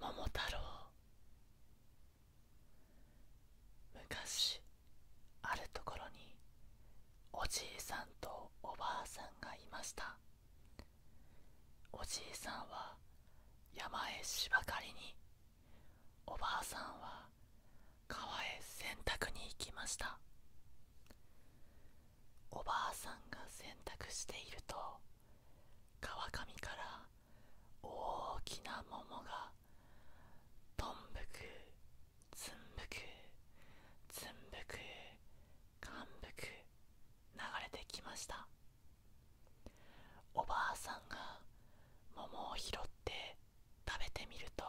桃太郎昔あるところにおじいさんとおばあさんがいましたおじいさんは山へ芝刈りにおばあさんは川へ洗濯に行きましたおばあさんが洗濯していると川上から大きな桃がどんぶくつんぶくつんぶくかんぶく流れてきましたおばあさんが桃を拾って食べてみると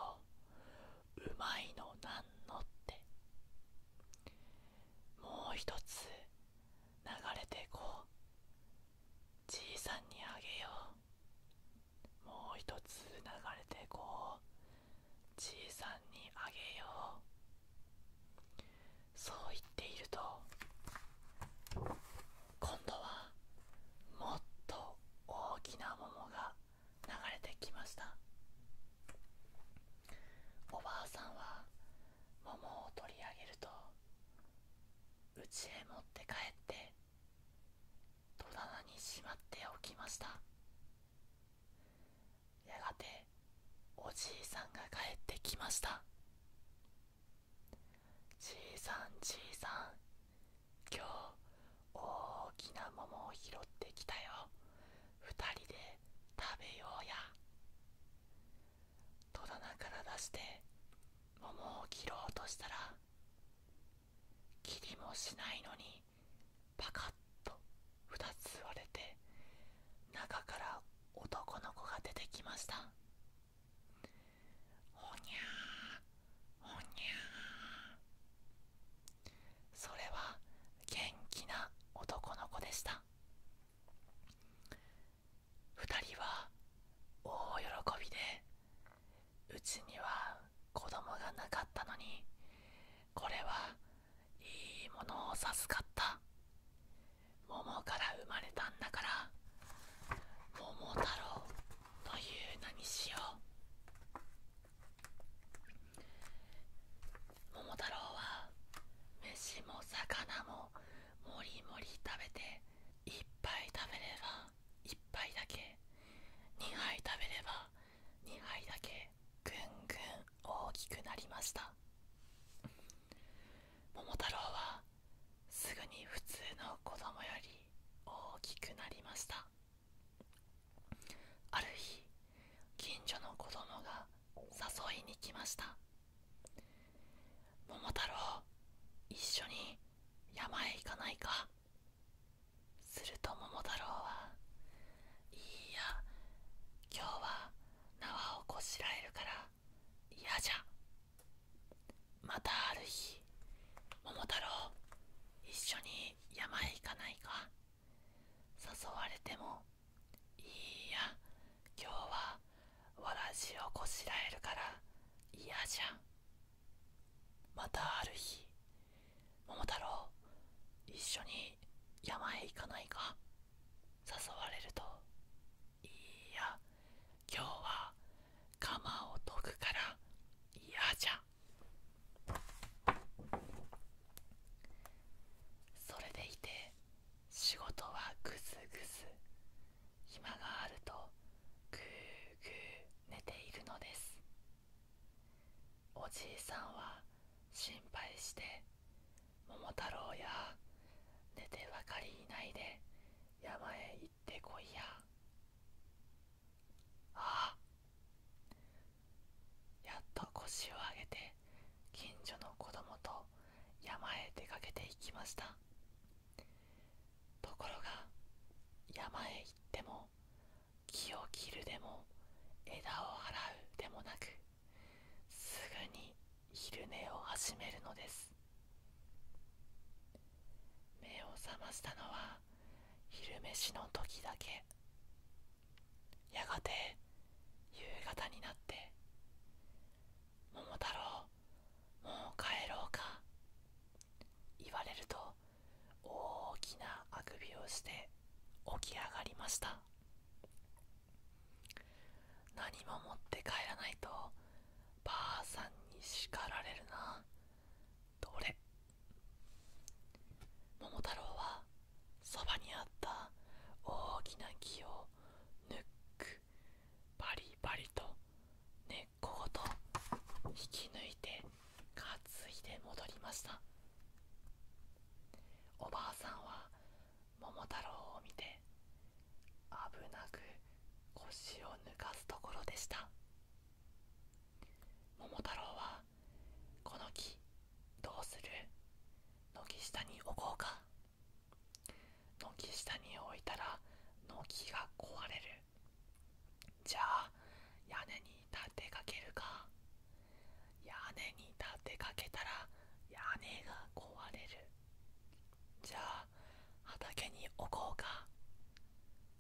うまいのなんのってもう一つ流れてこうじいさんにあげようもう一つ流れてこうじいさんにあげようそう言っていると今度はもっと大きな桃が流れてきましたおばあさんは桃を取り上げると家へ持って帰って戸棚にしまっておきましたやがておじいさんが帰ってきましたちいさんちいさん今日大きな桃を拾ってきたよ二人で食べようや戸棚から出して桃を切ろうとしたらきりもしないのにパカッと2つ割れて中から男の子が出てきましたほにゃーほにゃーそれは元気な男の子でした2人は大喜びでうちには子供がなかったのにこれはいいものを授かった桃から生まれたんだから桃太郎という名にしよう桃太郎は飯も魚ももりもり食べていっぱい食べればいっぱいだけ2杯食べれば2杯だけぐんぐん大きくなりました桃太郎はすぐに普通の子供より大きくなりましたある日近所の子供が誘いに来ました桃太郎一緒に山へ行かないかすると桃太郎はいいや今日は縄をこしらえるから嫌じゃまたある日桃太郎一緒に山へ行かないか誘われてもいいや今日はわらじをこしらえるから嫌じゃまたある日桃太郎一緒に山へ行かないか誘われると「いや今日は釜を解くから嫌じゃ」それでいて仕事はぐずぐず暇があるとぐうぐう。寝ているのですおじいさんは心配して桃太郎や寝てばかりいないで山へ行ってこいやああやっと腰を上げて近所の子供と山へ出かけていきましたところが山へ行っても木を切るでも枝を払うでもなくすぐに昼寝を始めるのです目を覚ましたのは昼飯の時だけやがて夕方になって「桃太郎もう帰ろうか」言われると大きなあくびをして起き上がりました何も持って帰らないとばあさんに叱られるなどれ桃太郎はそばにあった大きな木をぬっくバリバリと根っこごと引き抜いて担いで戻りましたおばあさんは桃太郎を見て危なく腰を抜かすところでした桃太郎は「この木どうする軒下に置こうか」軒下に置いたら軒が壊れるじゃあ屋根に立てかけるか屋根に立てかけたら屋根が壊れるじゃあ畑に置こうか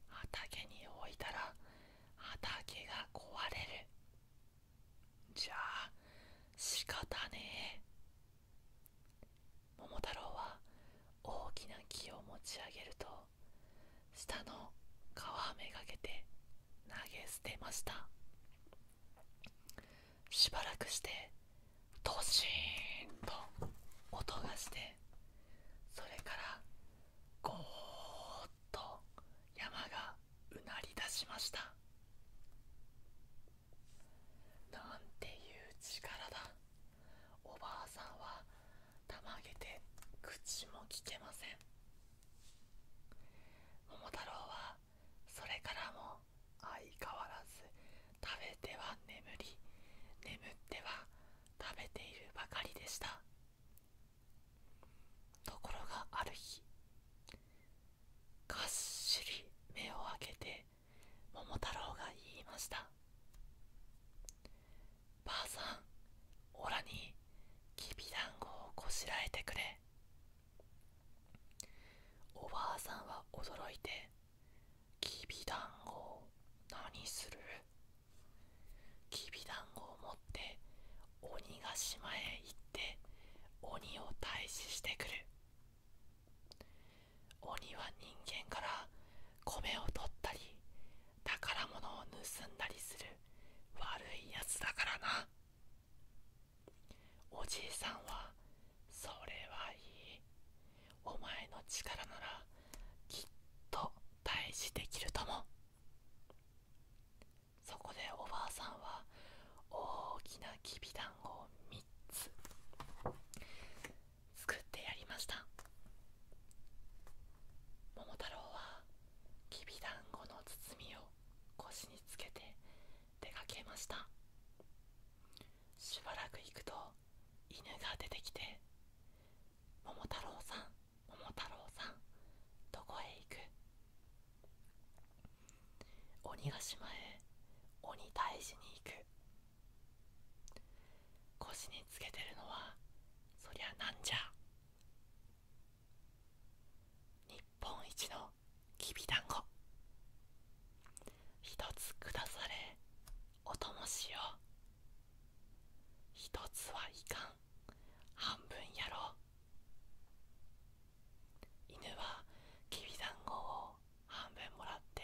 畑に置いたら畑が壊れるじゃあ仕方ねえ桃太郎は大きな木を持ち上げると下の皮めがけて投げ捨てましたしばらくしてドシーンと音がしてそれからゴーッと山がうなりだしましたなんていう力だおばあさんはたまげて口もきけません桃太郎はそれからも相変わらず食べては眠り眠っては食べているばかりでしたところがある日がっしり目を開けて桃太郎が言いましたばあさんおらにきびだんごをこしらえてくれおばあさんは驚いてきびだんごを何するきびだんごを持って鬼ヶ島へ行って鬼を退治してくる鬼は人間から米を取ったり宝物を盗んだりする悪いやつだからなおじいさんはそれはいいお前の力ならきっと退治できるともそこでおばあさんは大きなきびだんごを3つ作ってやりました桃太郎はきびだんごの包みを腰につけて出かけましたしばらく行くと犬が出てきて「桃太郎さん桃太郎さんどこへ行く?」鬼ヶ島へ鬼退治に行く腰につけてるのはそりゃなんじゃ日本一のきびだんご一つくだされおともしよ一つはいかん半分やろう犬はきびだんごを半分もらって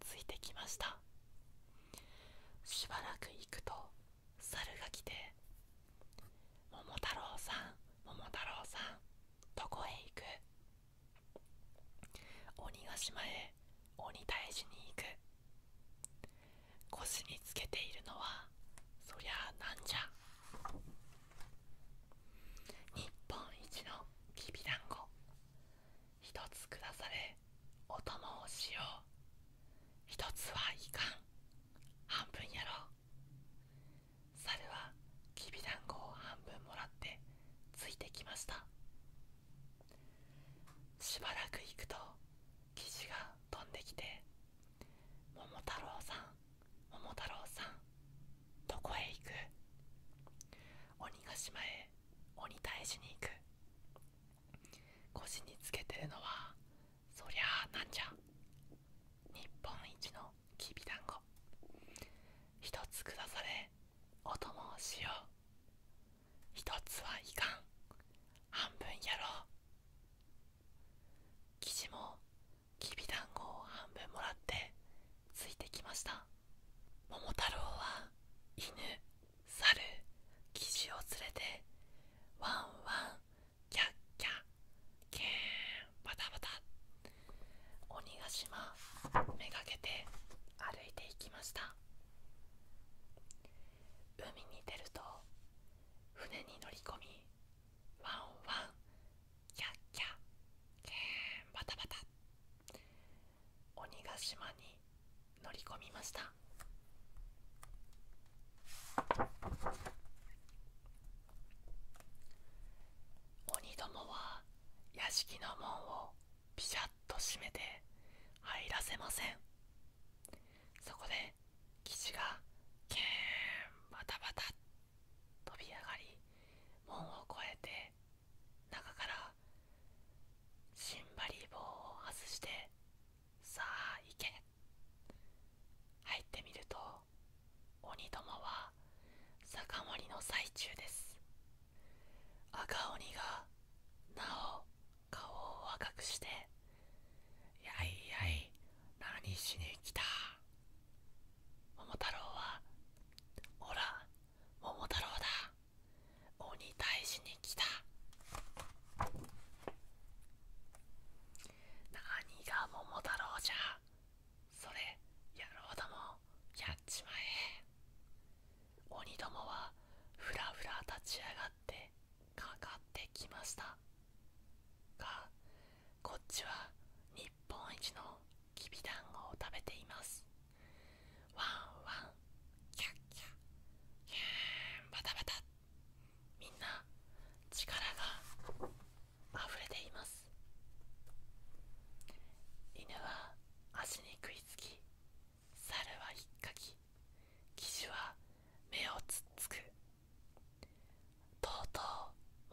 ついてきましたしばらく行くと猿が来て「桃太郎さん桃太郎さんどこへ行く?」「鬼ヶ島へ鬼退治に行く」「腰につけているのはそりゃあなんじゃ」「日本一のきびだんご」一つくだされお供をしよう一つはいかん半分やろう猿はきびだんごを半分もらってついてきましたしばらく行くと生地が飛んできて「桃太郎さん桃太郎さんどこへ行く鬼ヶ島へ鬼退治に行く腰につけてるのはそりゃあなんじゃ日本一のきびだんご一つ下されお供をしよう一つはいかん半分やろう生地もきびだんごを半分もらってついてきました桃太郎は犬猿キジを連れてワンワンキャッキャケーンバタバタ鬼ヶ島めがけて歩いていきました海に出ると船に乗り込みワンワンキャッキャケーンバタバタ鬼ヶ島に乗り込みました鬼どもは屋敷の門をピシャッと閉めて入らせませんそこで岸がケーンバタバタ飛び上がり門を越えて中からシンバリー棒を外してさあ行け入ってみると鬼どもは酒盛りの最中です赤鬼がなお顔を赤くして「やいやい何しに来た」桃太郎は「おら桃太郎だ鬼退治に来た何が桃太郎じゃそれ野郎どもやっちまえ鬼どもはふらふら立ち上がってかかってきましたがこっちは日本一のきびだんごを食べていますワンワンキャッキャキャンバタバタみんな力が溢れています犬は足に食いつき猿はひっかき騎手は目をつっつくとうと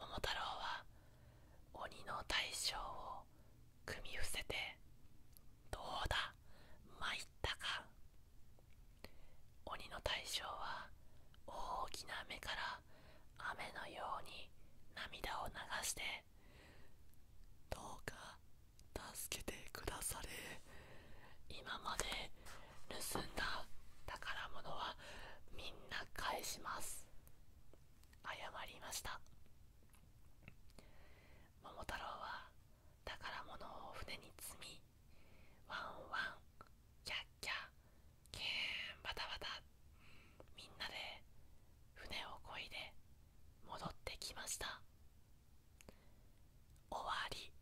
う桃太郎は鬼の大将を組み伏せてどうだ参ったか鬼の大将は大きな目から雨のように涙を流して「どうか助けてくだされ」今まで盗んだ宝物はみんな返します謝りました桃太郎は宝物を船に積みワンワンキャッキャケーンバタバタみんなで船をこいで戻ってきました終わり